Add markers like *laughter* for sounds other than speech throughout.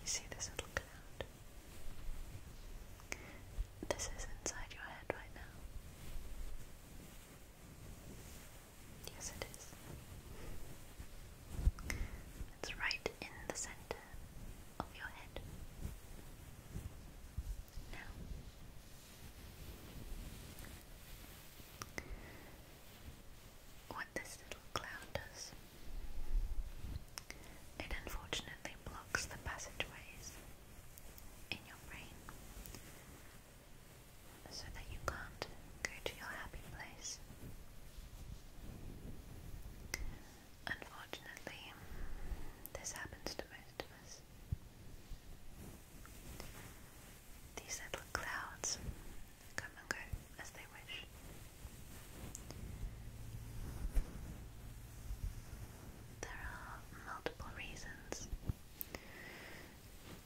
You see this little cloud? This is inside your head right now. Yes, it is. It's right in the center of your head. What this little cloud does, it unfortunately blocks the passageways in your brain so that you can't go to your happy place. Unfortunately, this happens to most of us. These little clouds come and go as they wish. There are multiple reasons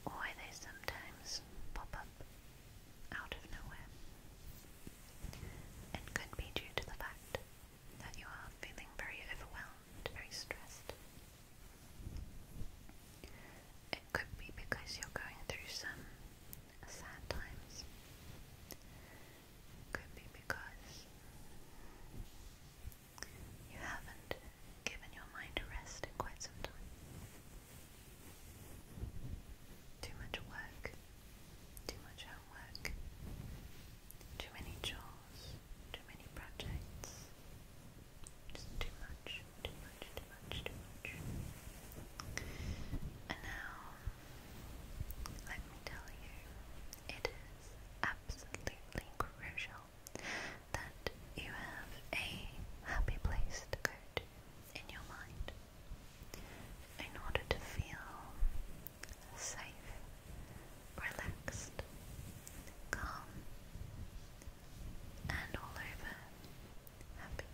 why they sometimes pop up out of nowhere. It could be due to the fact that you are feeling very overwhelmed, very stressed. It could be because you're going through some sad times. It could be because you haven't given your mind a rest in quite some time. Too much work too much homework. Too many chores. Too many projects. Just too much, too much, too much, too much. And now, let me tell you, it is absolutely crucial that you have a happy place to go to in your mind in order to feel safe, relaxed, calm, and all over happy.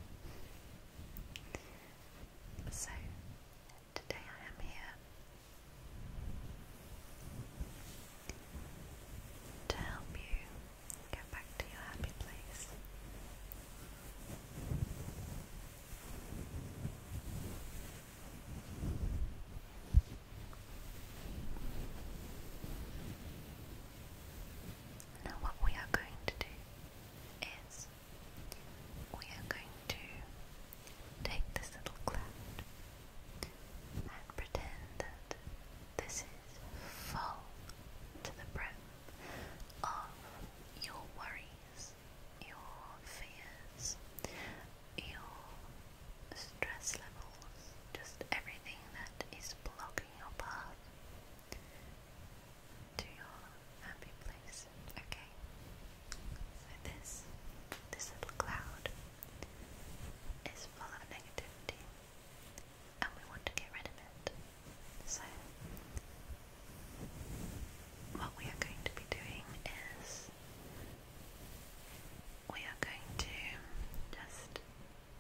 So, today I am here to help you get back to your happy place. Now, what we are going to do is we are going to take this little cloud and pretend that this is full to the brim of your worry worries, your fears, your stress levels, just everything that is blocking your path to your happy place. Okay. So this this little cloud is full of negativity and we want to get rid of it. So what we are going to be doing is we are going to just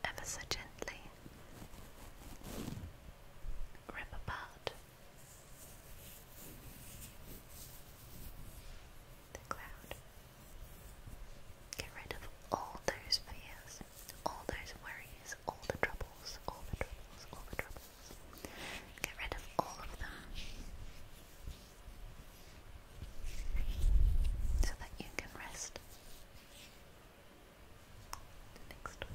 ever so gently rip apart the cloud. Get rid of all those fears, all those worries, all the troubles, all the troubles, all the troubles. Get rid of all of them so that you can rest. next one.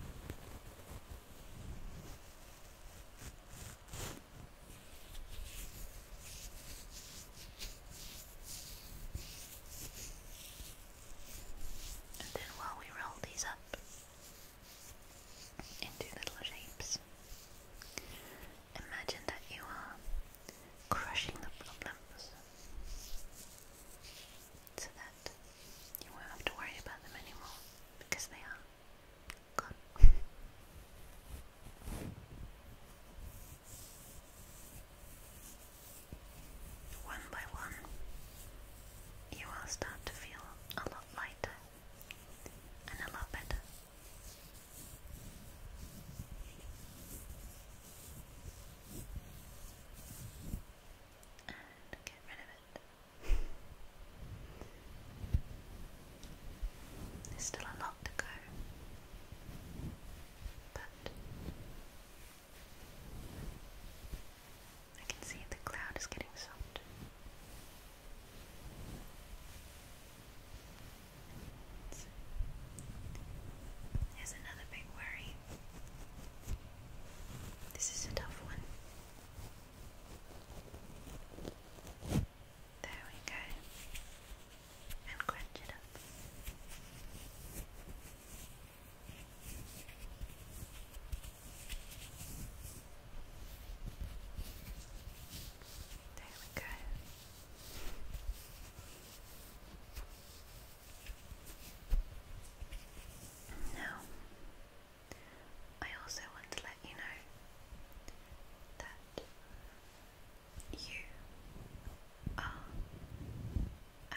And then while we roll these up, into little shapes. Imagine that you are crushing the problems so that you won't have to worry about them anymore because they are gone. *laughs* One by one, you will start to feel a lot lighter and a lot better. And get rid of it. There's still a lot to go, but I can see the cloud is getting softer. Here's another big worry. This is a tough one. There we go. And crunch it up. There we go. Now, I also want to let you know that you are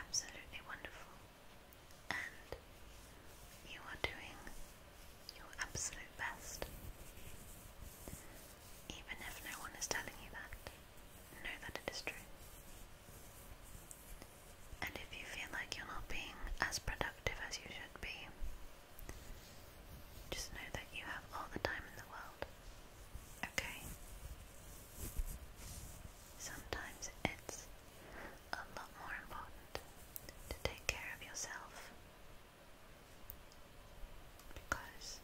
absolutely wonderful and you are doing your absolute best. Even if no one is telling you that, know that it is true. And if you feel like you're not being as productive as you should be, just know that you have all the time in the world. Okay? Sometimes it's a lot more important to take care of yourself because,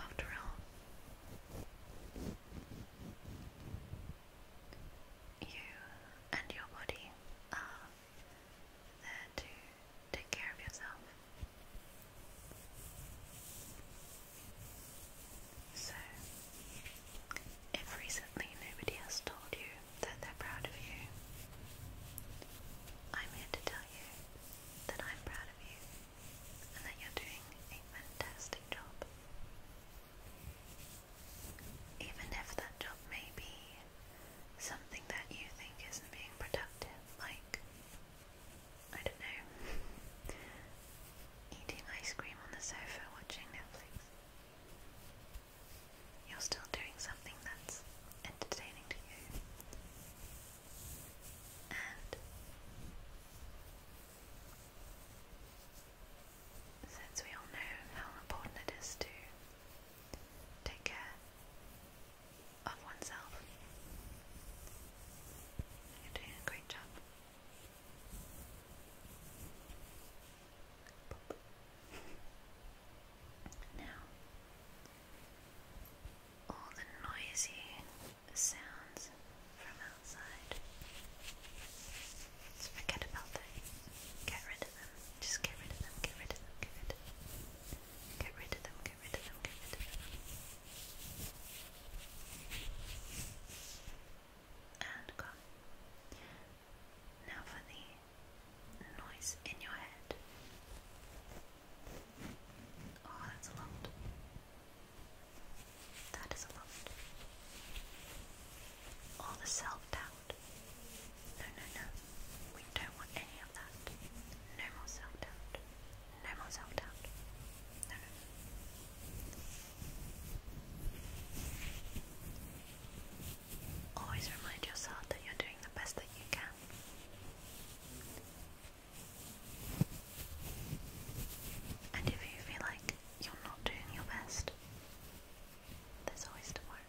after all, you and your body are there to take care of yourself. So, if recently nobody has told you that they're proud of you, I'm here to tell you that I'm proud of you and that you're doing a fantastic job. Even if that job may be something that you think isn't being productive, like I don't know, eating ice cream on the sofa, watching Netflix. You're still doing something that's entertaining to you. And since we all know how important it is to take care of oneself. You're doing a great job. now, all the noisy sounds from outside. Just forget about them. Get rid of them. Just Get rid of them. Get rid of them. Get rid of them. Get rid of them. Get rid of them and come. Now for the noise in your head. Oh, that's a lot. That is a lot. All the self doubt. No, no, no. We don't want any no more self doubt. No more self doubt. Always remind yourself that you're doing the best that you can. And if you feel like you're not doing your best, there's always tomorrow.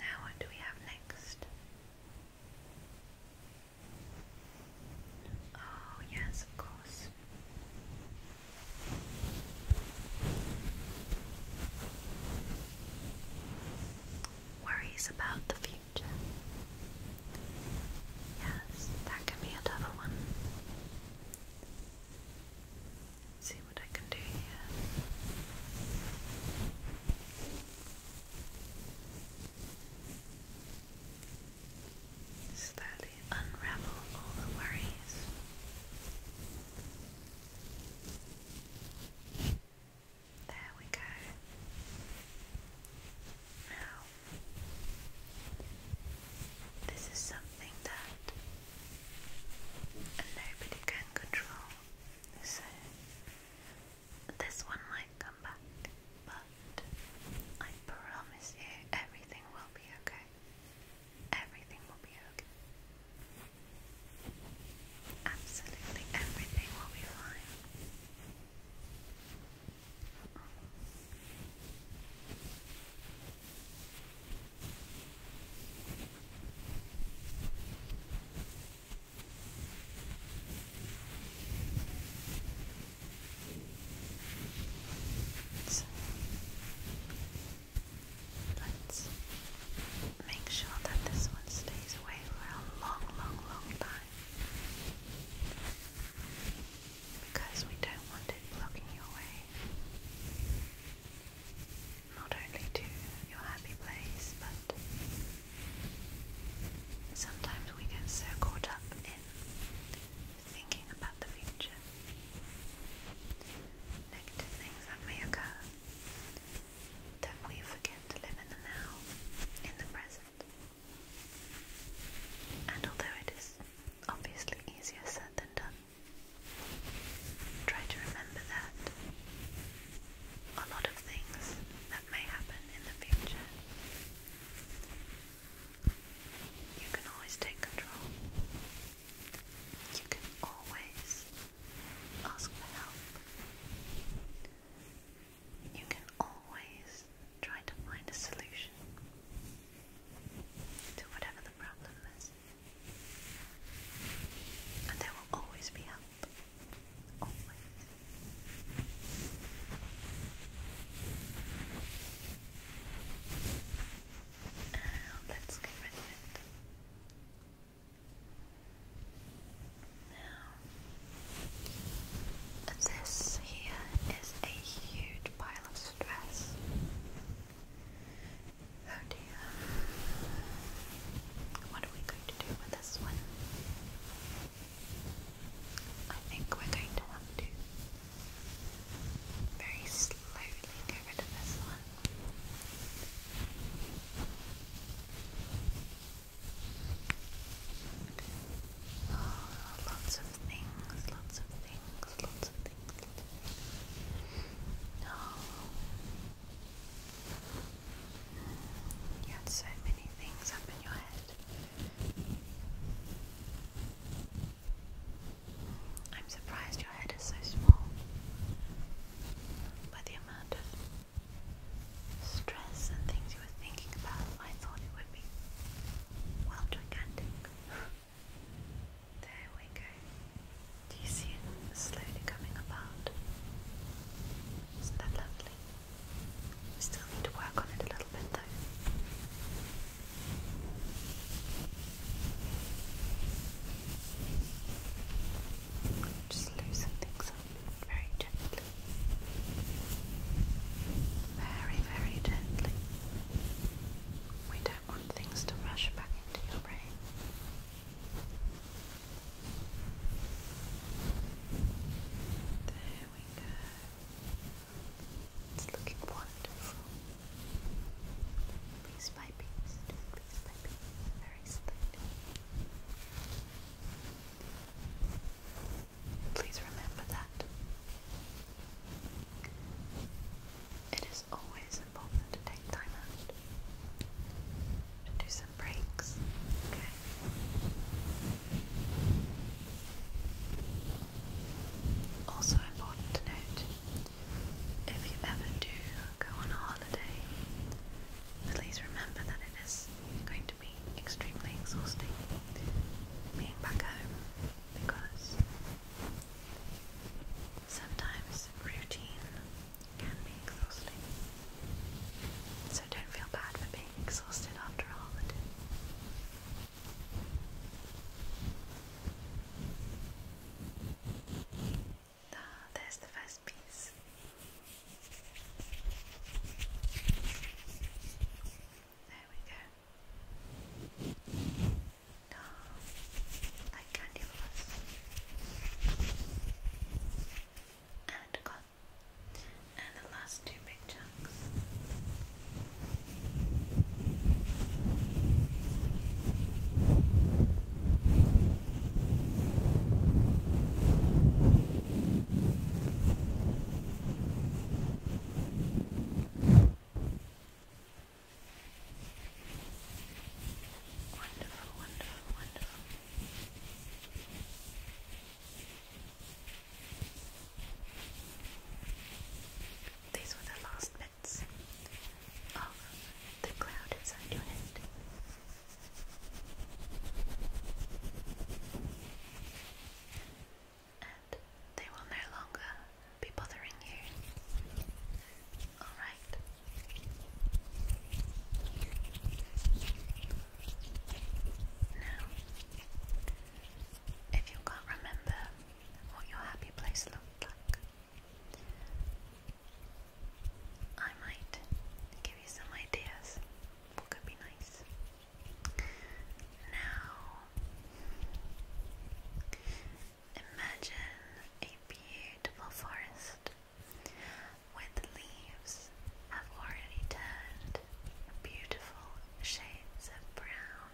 Now, what do we have next? Oh, yes, of course. Worries about the future. Yes, that can be a one see what I can do Slowly unravel all the worries. There we go. Now, this is something that nobody can control. So this one might come back, but I promise you everything will be okay. Everything will be okay. Absolutely everything will be fine. So let's make sure that this one stays away for a long, long, long time because we don't want it blocking your way not only to your happy place, but sometimes we get so caught up in thinking about the future, negative things that may occur, that we forget to live in the now, in the present. And although it is obviously easier said than done, Try to remember that. A lot of things that may happen in the future. You can always take control. You can always ask for help. You can always try to find a solution to whatever the problem is. And there will always be help. Always. Now let's get rid of it. Now, this here is a huge pile of stress Oh dear. What are we going to do with this one? I think we're going to have to very slowly get rid of this one. Ah, lots of things, lots of things, lots of you had so many things up in your head. I'm surprised your head is so small by the amount of stress and things you were thinking about. I thought it would be well gigantic. There we go. Do you see it slowly coming apart? Isn't that lovely? We still need to work on it a little bit though. Just loosen things up very gently. Very, very gently. We do want things to rush back into your brain. There we go. It's looking wonderful. Piece by piece, piece by piece, very slowly. Please remember that it is always important to take time out to do some breaks, okay? Also important to note if you ever do go on a holiday, please remember that it is going to be extremely exhausting being back home because Sometimes routine can be exhausting. So don't feel bad for being exhausted after a holiday. Ah, there's the first piece. There we go. Oh, like candy floss. And gone. And the last two big chunks. Wonderful, wonderful, wonderful. These were the last bits of the cloud inside your head they will no longer be bothering you. Alright. Now, if you can't remember what your happy place looked like, I might give you some ideas what could be nice. Now, imagine a beautiful forest where the leaves have already turned beautiful shades of brown,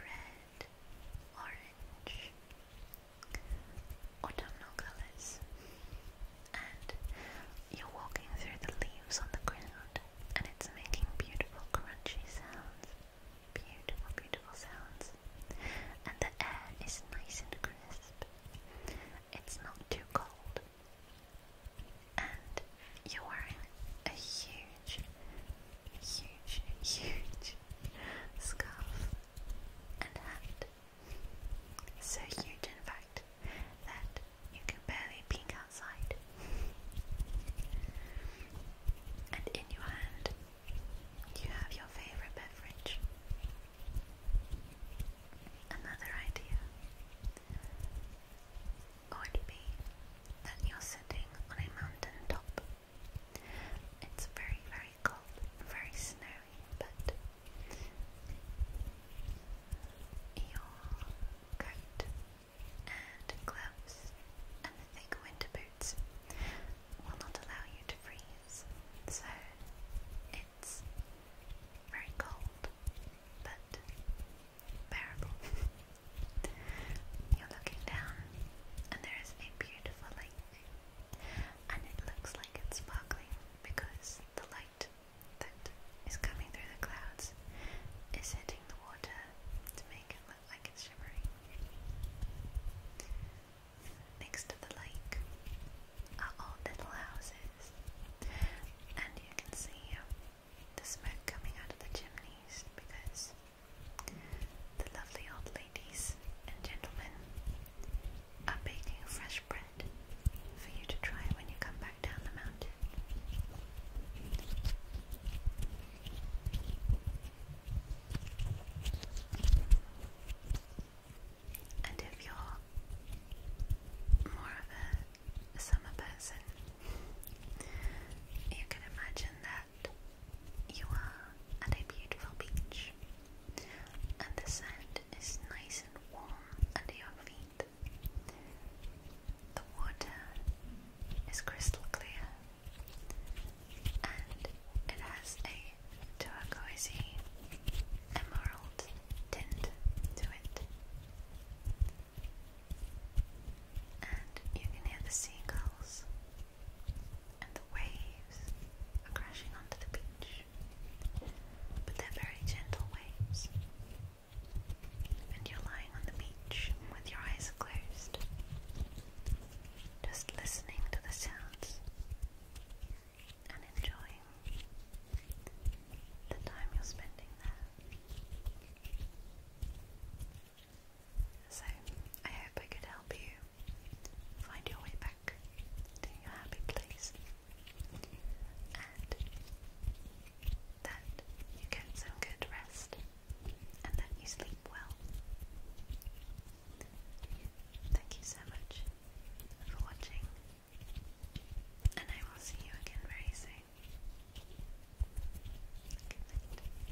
red, orange, autumnal colors, you're walking through the leaves on the ground, and it's making beautiful crunchy sounds. Beautiful, beautiful sounds. And the air is nice and crisp. It's not too cold. And you're wearing a huge, huge, huge scarf and hat. So huge, in fact, that you can barely peek outside. and in your hand, you have your favorite beverage. Another idea would be that you're sitting on a mountain top. It's very, very cold, very snowy, but your coat and gloves and thick winter boots will not allow you to freeze. So it's very cold, but bearable. You're looking down, and there is a beautiful lake, and it looks like it's sparkling because the light that is coming through the clouds is hitting the water to make it look like it's shimmering. Next to the lake are all little houses, and you can see um, the smoke coming out of the chimneys because the lovely old ladies and gentlemen are baking fresh bread for you to try when you come back down the mountain. And if you're more of a summer person, you can imagine that you are at a beautiful beach and the sand it's nice and warm under your feet. The water is crystal clear and it has a turquoisey emerald tint to it. And you can hear the seagulls and the waves are crashing onto the beach. But they're very gentle waves and you're lying on the beach with your eyes closed, just listening to the sounds and enjoying the time you're spending there. So, I hope I could help you find your way back to your happy place and that you get some good rest and that you sleep well. Thank you so much for watching, and I will see you again very soon. Good night.